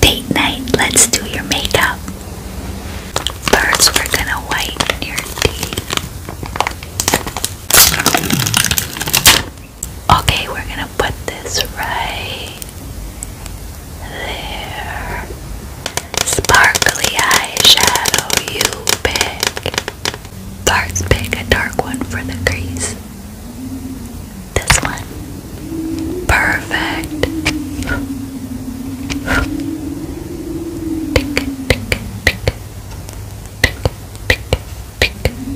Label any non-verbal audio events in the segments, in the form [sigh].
Date night, let's do your makeup. First, we're gonna whiten your teeth. Okay, we're gonna put this right there. Sparkly eyeshadow, you pick. Start pick a dark one for the crease. This one. Perfect.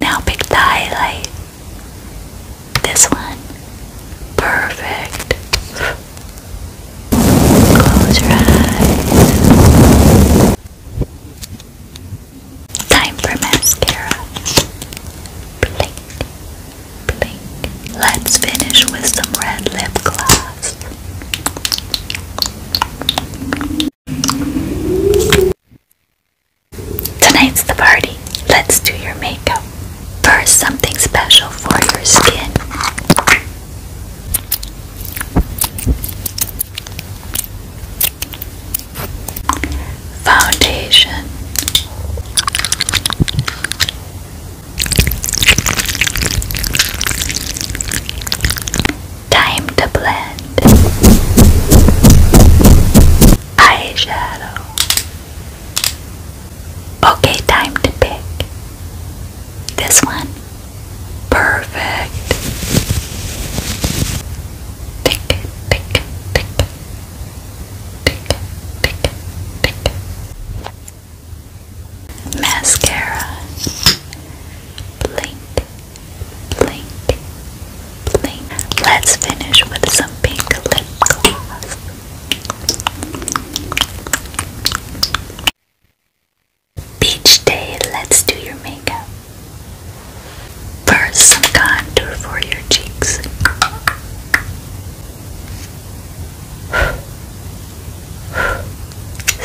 Now pick the highlight. This one. Perfect. Close your eyes. Time for mascara. Blink, blink. Let's finish with some red lip gloss. Tonight's the party. Let's do your makeup. First, something special for your skin foundation. Time to blend eyeshadow. Okay, time to pick this one. Perfect. Tick, tick, tick, Mascara. Blink, blink, blink. Let's finish with some pink lip gloss. Beach day, let's do your makeup. First, some contour for your cheeks.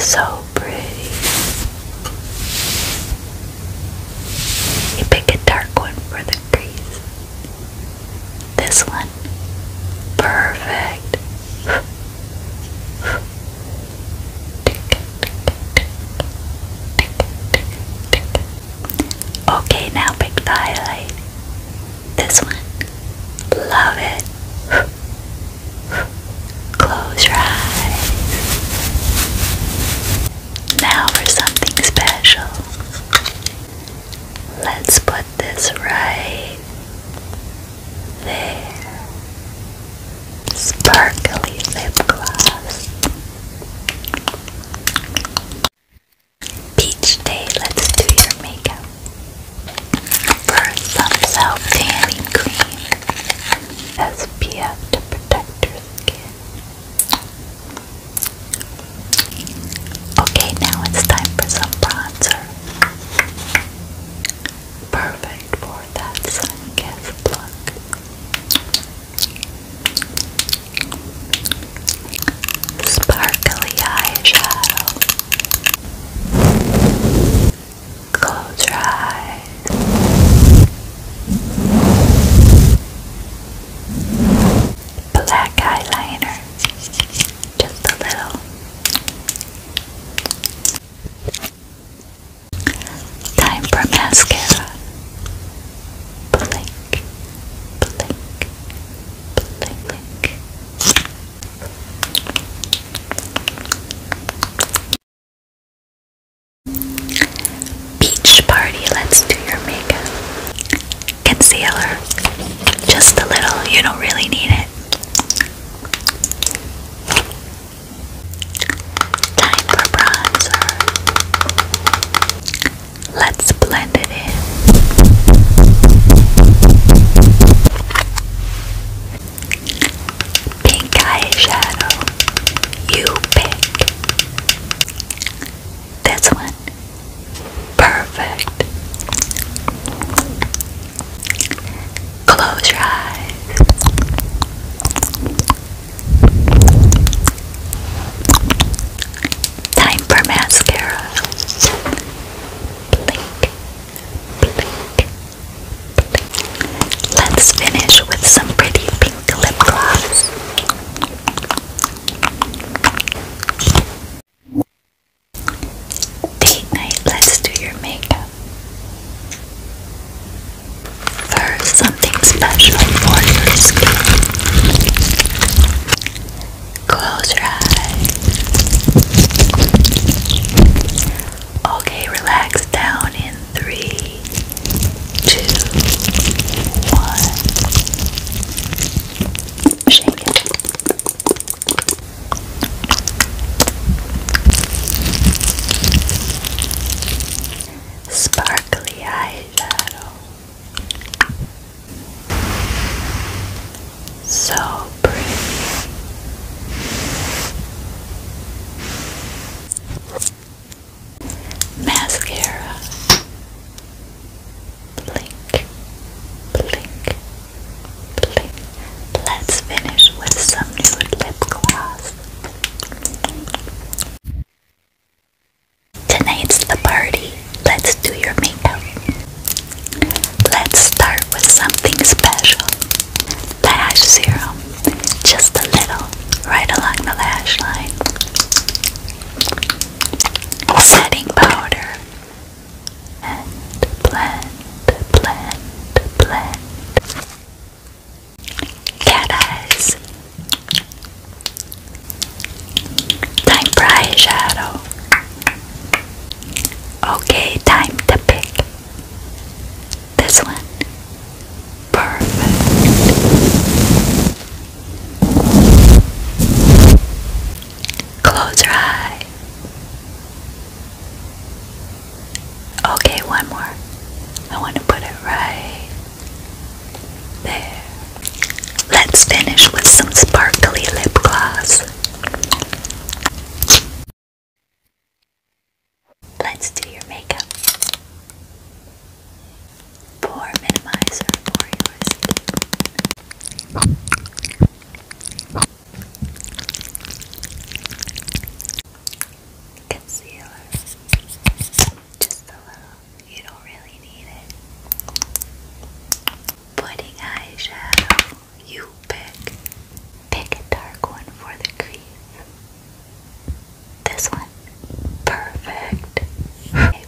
So pretty. You pick a dark one for the crease. This one. Perfect. Okay, now pick the highlight. This one. Love it. Close your eyes. Now for something special. Let's put this right there. Sparkly lip gloss. Beach day, let's do your makeup. First, some self tanning cream. SPF to protect your skin. Okay, now it's time for some bronzer. Perfect for that sun kiss look. Sparkly eyeshadow. Close your eyes. Black eyeliner. Just a little. Time for mascara. Blink, Beach party, let's do your makeup. Concealer, just a little, you don't really need it. Time for bronzer. Let's blend it in. Pink eyeshadow. You pick. This one. Perfect. Close your eyes. Time for mascara. Let's finish with some pretty pink lip gloss. Date night, let's do your makeup. First, something special for your skin. Close your eyes. Okay, relax down in three, two, one. Shake it. Sparkly eyes. So pretty. Mascara. Blink, blink, blink. Let's finish with some nude lip gloss. Tonight's the party. Let's do your makeup. Let's start with something special. Lash serum. Just a little, right along the lash line. Setting powder. And blend, blend, blend. Cat eyes. Time for eyeshadow. Okay, time to pick this one. Perfect. Close your eye. Okay, one more. I want to put it right Let's finish with some sparkly lip gloss. Let's do your makeup. Pour minimizer for your Concealer. Just a little. You don't really need it. Putting eyeshadow. You pick. Pick a dark one for the crease. This one. Perfect.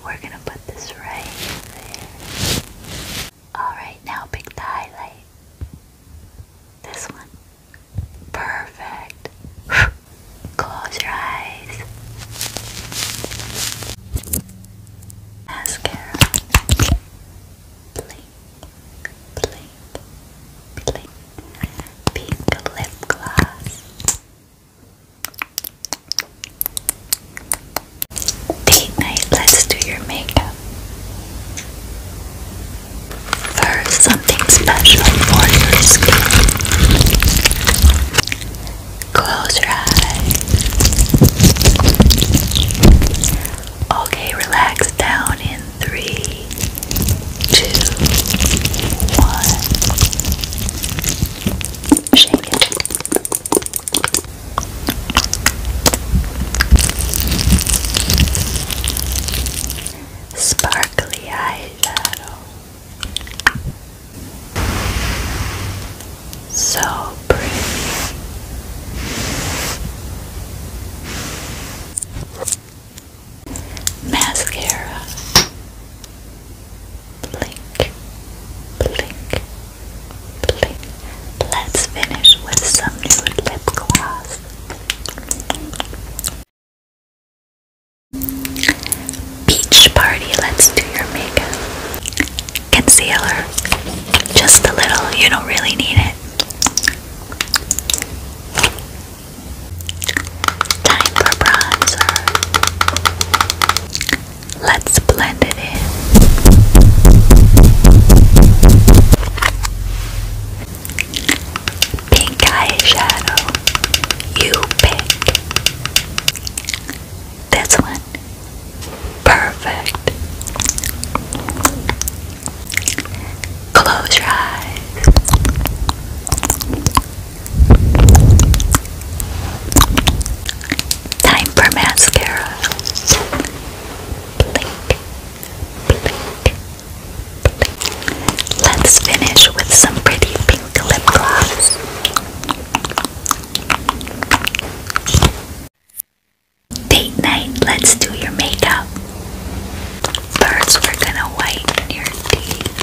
we're gonna put this right there. Alright, now pick the highlight. This one. Perfect. [sighs] Close your eyes. Mascara. Blink, blink, blink. Pink lip gloss. Date night, let's do your makeup first something special for your skin. Close your eyes. Okay, relax down in three, two, one. Shake it. Sparkly eyeshadow. So pretty. Mascara. Blink, blink, blink. Let's finish with some nude lip gloss. Beach party, let's do your makeup. Concealer, just a little, you don't really need it. Time for bronzer. Let's blend it in pink eyeshadow you pick. This one. Perfect. Close your eyes. Time for mascara. Blink, blink, Let's finish with some pretty pink lip gloss. Date night, let's do your makeup. First, we're gonna whiten your teeth.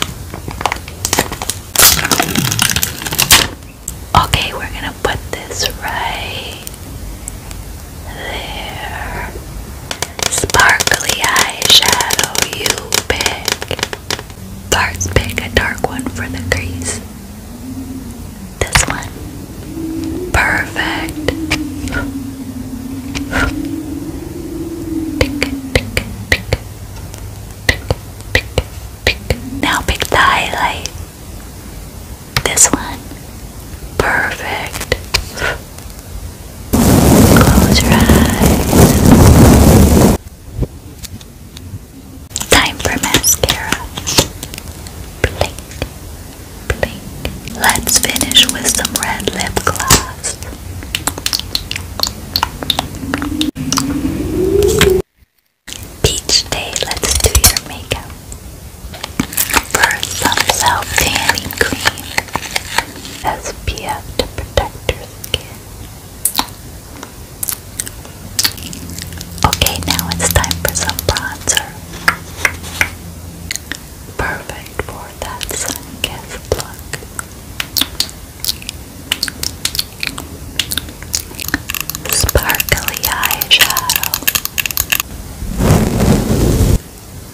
Okay, we're gonna put this right there sparkly eyeshadow you pick. Bars pick a dark one for the crease. This one. Perfect. Tick, tick, tick, tick, tick, tick. Now pick the highlight. This one. Perfect. Close your eyes. Time for mascara. Blink, blink. Let's finish with some red lip gloss. Beach day, let's do your makeup. First, some self tanning cream. SPF to protect your skin. Okay, now it's time for some bronzer. Perfect for that sun-kissed look. Sparkly eyeshadow.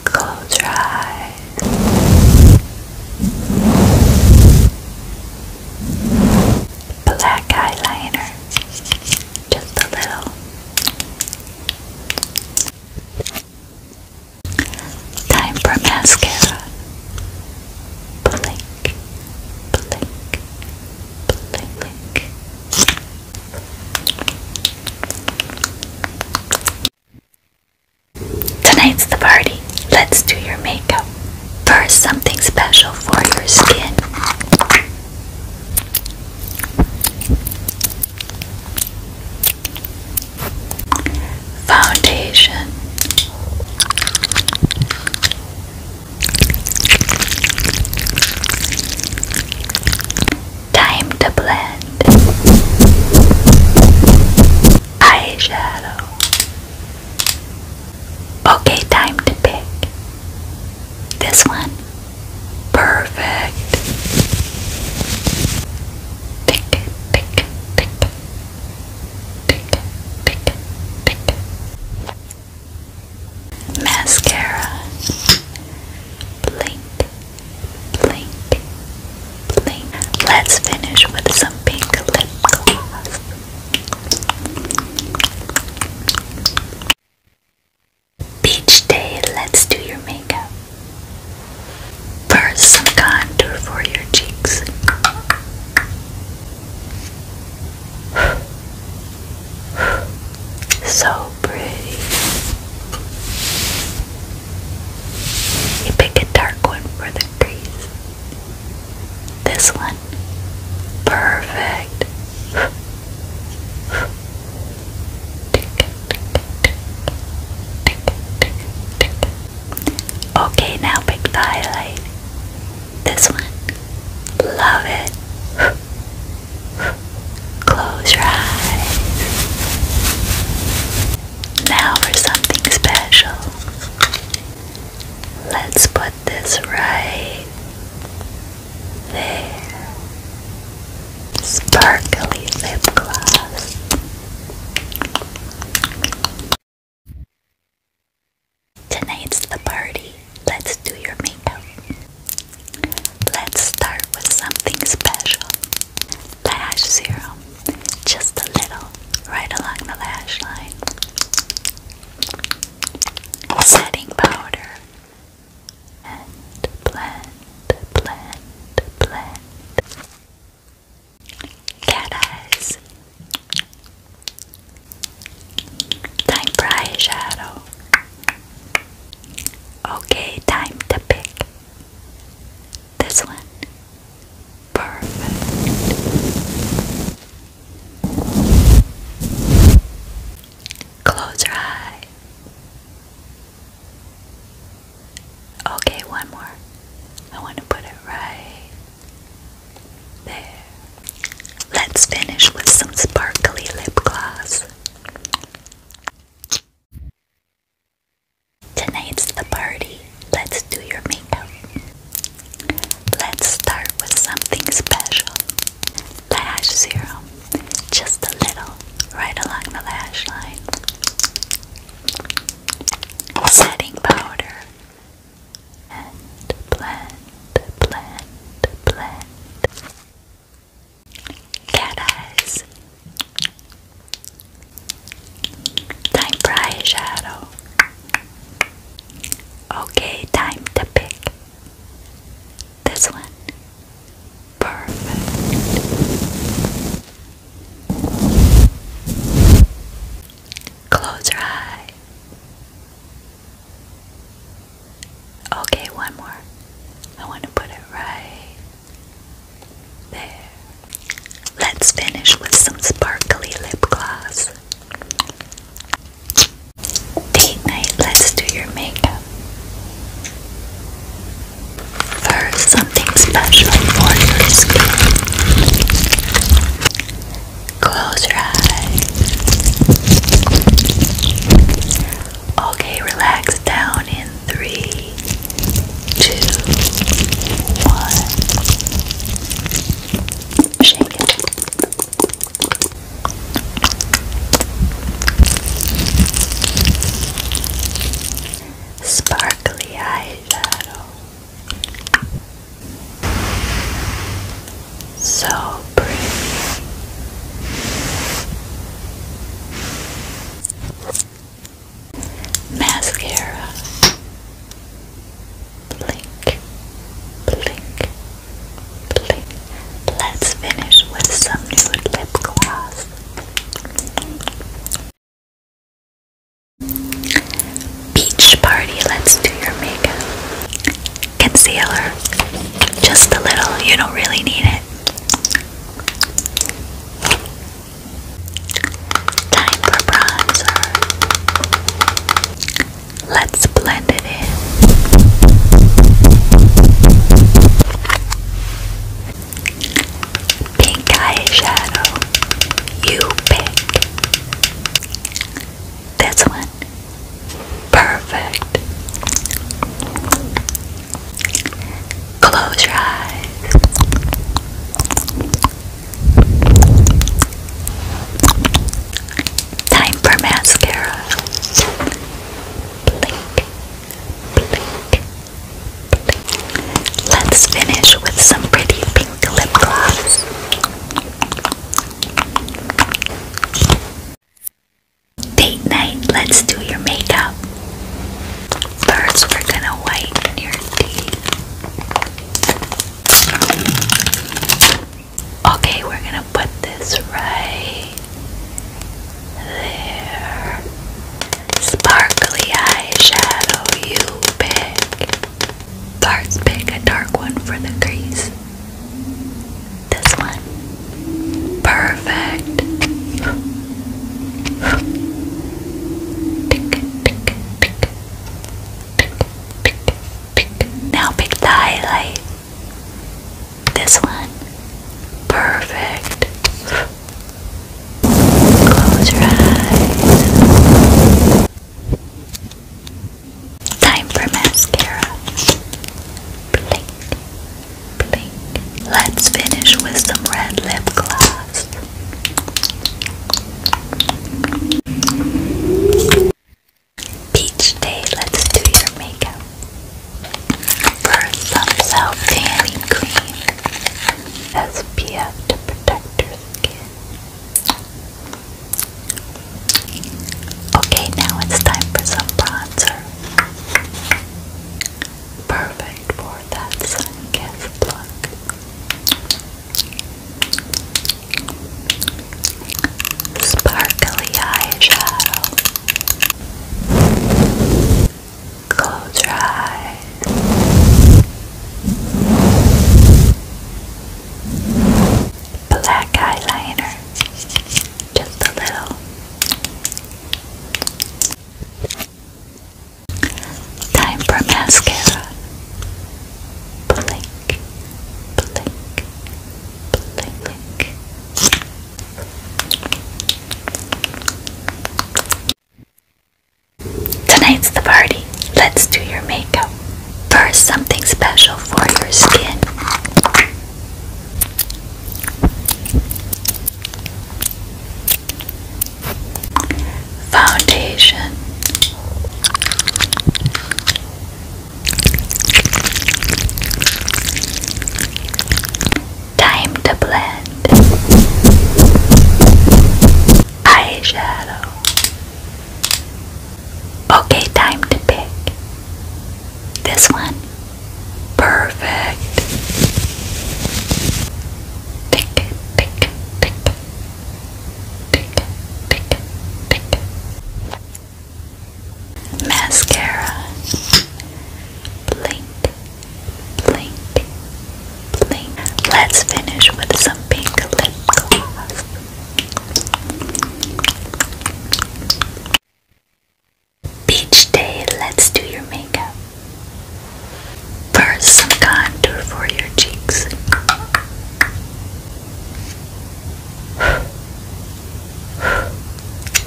Close your eyes. Black eyeliner. Just a little. Time for mascara. Blink, blink, blink, blink. Tonight's the party. Let's do your makeup. First, something special for your skin. Foundation. Time to blend eyeshadow. Okay, time to pick this one. Perfect. Pick, pick, pick, pick, pick, pick. Mascara. Blink blink, blink. Let's finish with some pink lip gloss. Beach day, let's do your makeup. First, some contour for your cheeks. So pretty. You pick a dark one for the crease. This one. Perfect. Okay, now pick the highlight. This one. Love it. Close your eyes. Now for something special. Let's put this right there. Sparkly lip gloss. Tonight's the party. Let's do your makeup. Let's start with something special lash serum, just a little, right along the lash line. Setting powder and blend, blend, blend. Cat eyes. Time for eyeshadow. Okay, time to pick. This one. Perfect. Close your eye. Okay, one more. I want to put it right there. Let's finish with some sparkly lip gloss. Tonight's the party. Let's do your makeup. Let's start with something special. Lash serum. Just a little, right along the lash line. Setting powder. And blend, blend, blend. Cat eyes. Time for eyeshadow. Okay, time to pick this one. Perfect. Close your eyes. Okay, one more. I want to put it right there. Let's finish with some sparkly lip gloss. Date night, let's do your makeup. First, something special for your skin. Close your eyes. Okay, relax down in three, two, one. Shake it. Sparkly eyeshadow. So pretty. Mascara. Blink, blink, blink. Let's finish with some nude lip gloss. Beach party, let's do your makeup. Concealer. Just a little, you don't really need it. Time for bronzer. Let's blend it in. Pink eyeshadow. You pick. This one. Perfect. Close your eyes. Time for mascara. Let's finish with some pretty pink lip gloss. Date night, let's do your makeup. First, we're gonna whiten your teeth. Okay, we're gonna put this right there. Sparkly eyeshadow, you pick. Cards pick a dark one for the crease. This one. Perfect. Now pick the highlight. This one. Perfect. Close your eyes. Time for mascara. Blink, Let's finish with some red lip gloss. Peach day, let's do your makeup. First, some self tanning cream. SPF to protect your skin. Okay, now it's time for some bronzer. Perfect for that sun kiss look. Sparkly eyeshadow. Close your eyes. Black eyeliner. Just a little. Time for mascara. Blink, blink, blink, blink. Tonight's the party. Let's do your makeup. First, something special for your skin. Foundation Time to blend eyeshadow. Okay, time to pick this one Perfect. Tick, tick, tick, tick, tick, tick, tick. Mascara. Blink, blink, blink. Let's finish with some pink lip gloss. Beach day, let's do your makeup. First, some contour for your cheeks.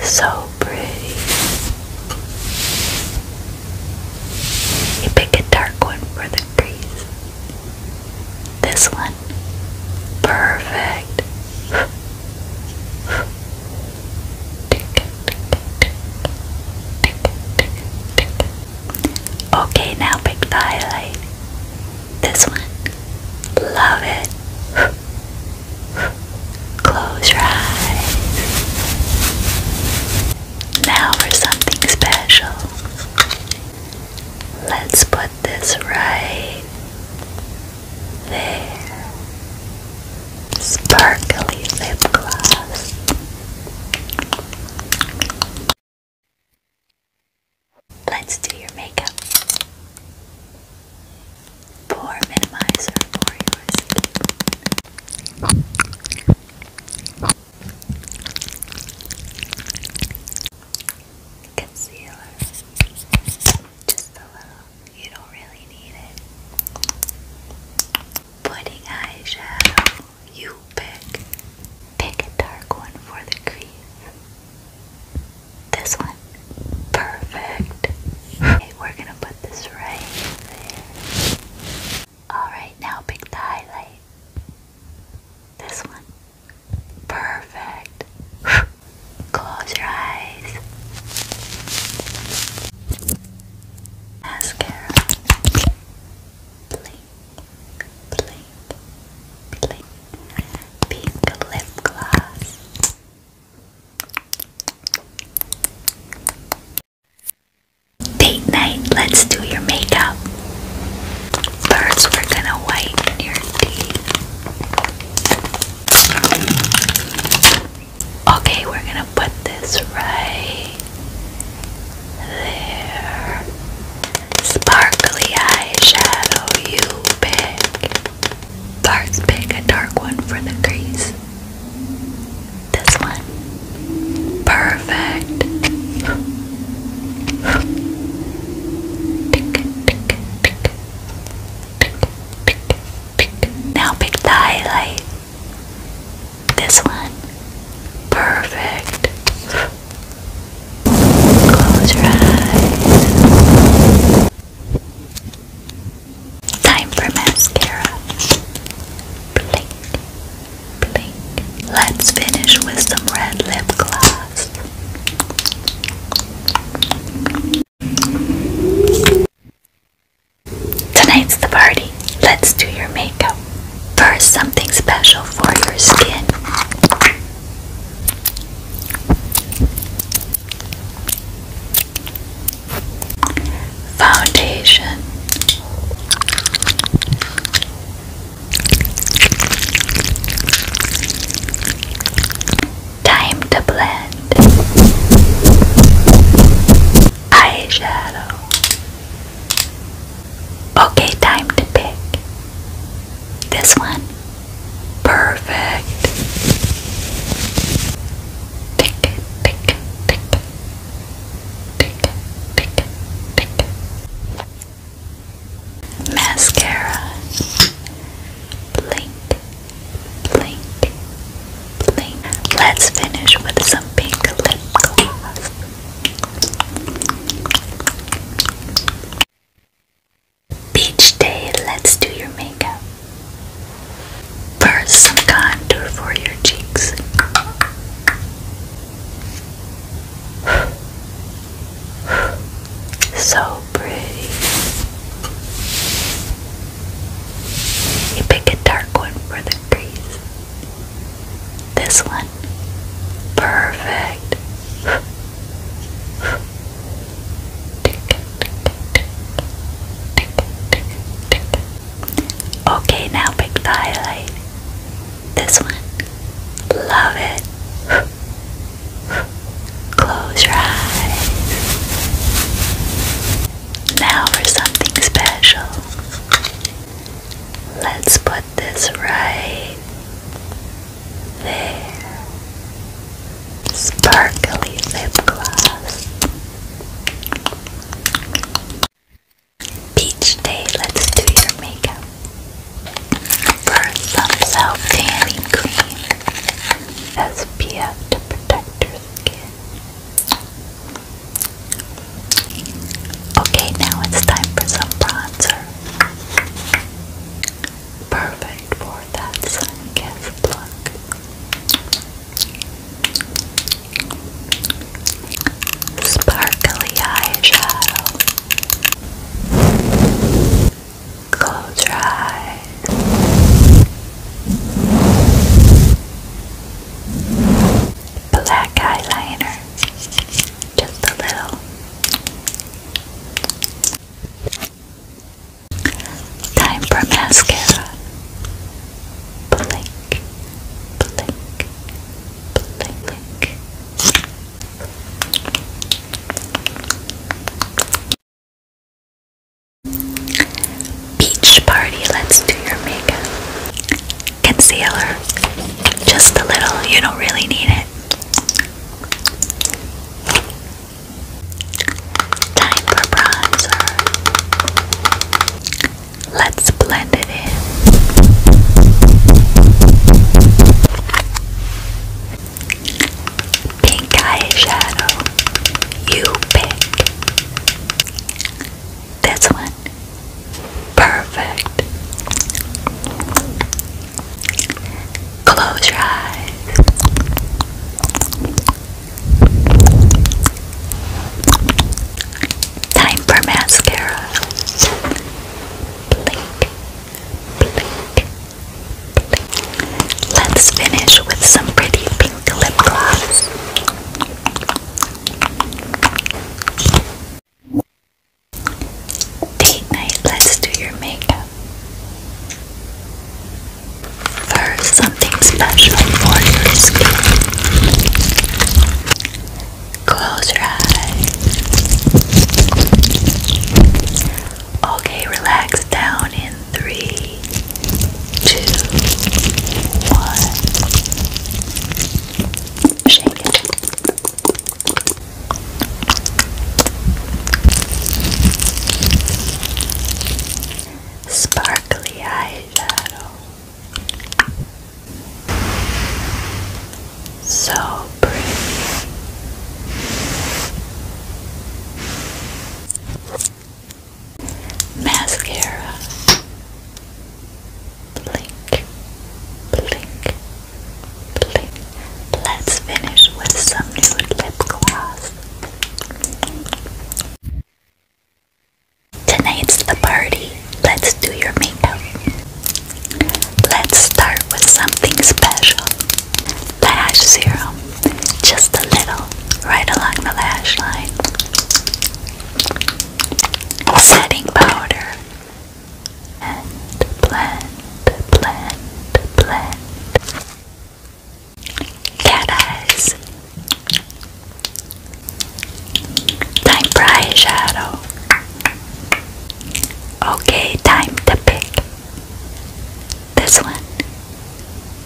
So pretty. You pick a dark one for the crease. This one. Perfect. Okay, now pick the highlight. This one. Love it. Close your eyes. Now for something special. Let's put this right there. Sparkly lip gloss. Let's do your makeup. Pore minimizer for your Concealer. Just a little you don't really need it. Putting eyeshadow, you pick. Pick a dark one for the crease. This one. Perfect. we're gonna put this right there. Alright, now pick the highlight. This one. Perfect. [laughs] Close your eyes. Mascara. Blink, blink, blink. Pink lip gloss. Date night, let's do your makeup. First, we're gonna whiten your teeth. Okay, we're gonna put this right there. Sparkly eyeshadow, you pick. Dark's pick a dark one for the crease. This one. Perfect now pick the highlight. This one. Perfect. Close your eyes. Time for mascara. Blink, blink. Let's finish with some red lip gloss. Tonight's the party. Let's do your makeup. First, something special for your skin. Foundation. Time to blend eyeshadow. Okay, time to pick this one. Perfect. Tick, tick, tick, tick, tick, tick. Mascara blink, blink, blink. Let's finish with some pink lip gloss. Beach day, let's do your makeup. First, some contour for your cheeks. So pretty. You pick a dark one for the crease. This one. Perfect. Okay, now pick the highlight. This one. Love it. Close your eyes. Now for something special. Let's put this right there. Sparkly lip gloss. Beach day, let's do your makeup. First, some self tanning cream. SPF to protect your skin. Okay, now it's time for some bronzer. Perfect for that sunkissed look. Sparkly eyeshadow. Close your eyes. Black eyeliner. Just a little. Time mascara. Blink, blink, blink, blink. Beach party, let's do your makeup. Concealer, just a little, you don't really need it. Time for bronzer. Let's blend it in. Pink eyeshadow. You pick. This one. Perfect. Close your eyes. Time for mascara. Let's finish with some pretty pink lip gloss. Date night, let's do your makeup. First, something special for your skin. Close your eyes. Okay, relax down in three, two, one. Shake it. Sparkly eyeshadow. So pretty. Mascara Blink Blink Blink Let's finish with some nude lip gloss Tonight's the party. Let's do your makeup. Let's start with something special lash zero, just a little, right along the lash line. Setting powder and blend, blend, blend. Cat eyes. Time for eyeshadow. Okay, time to pick. This one.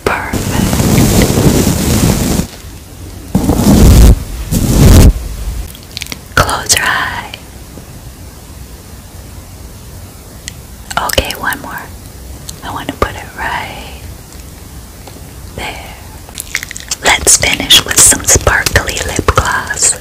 Perfect. Close your eye. Okay, one more. I want to put it right there. Let's finish with some sparkly lip gloss.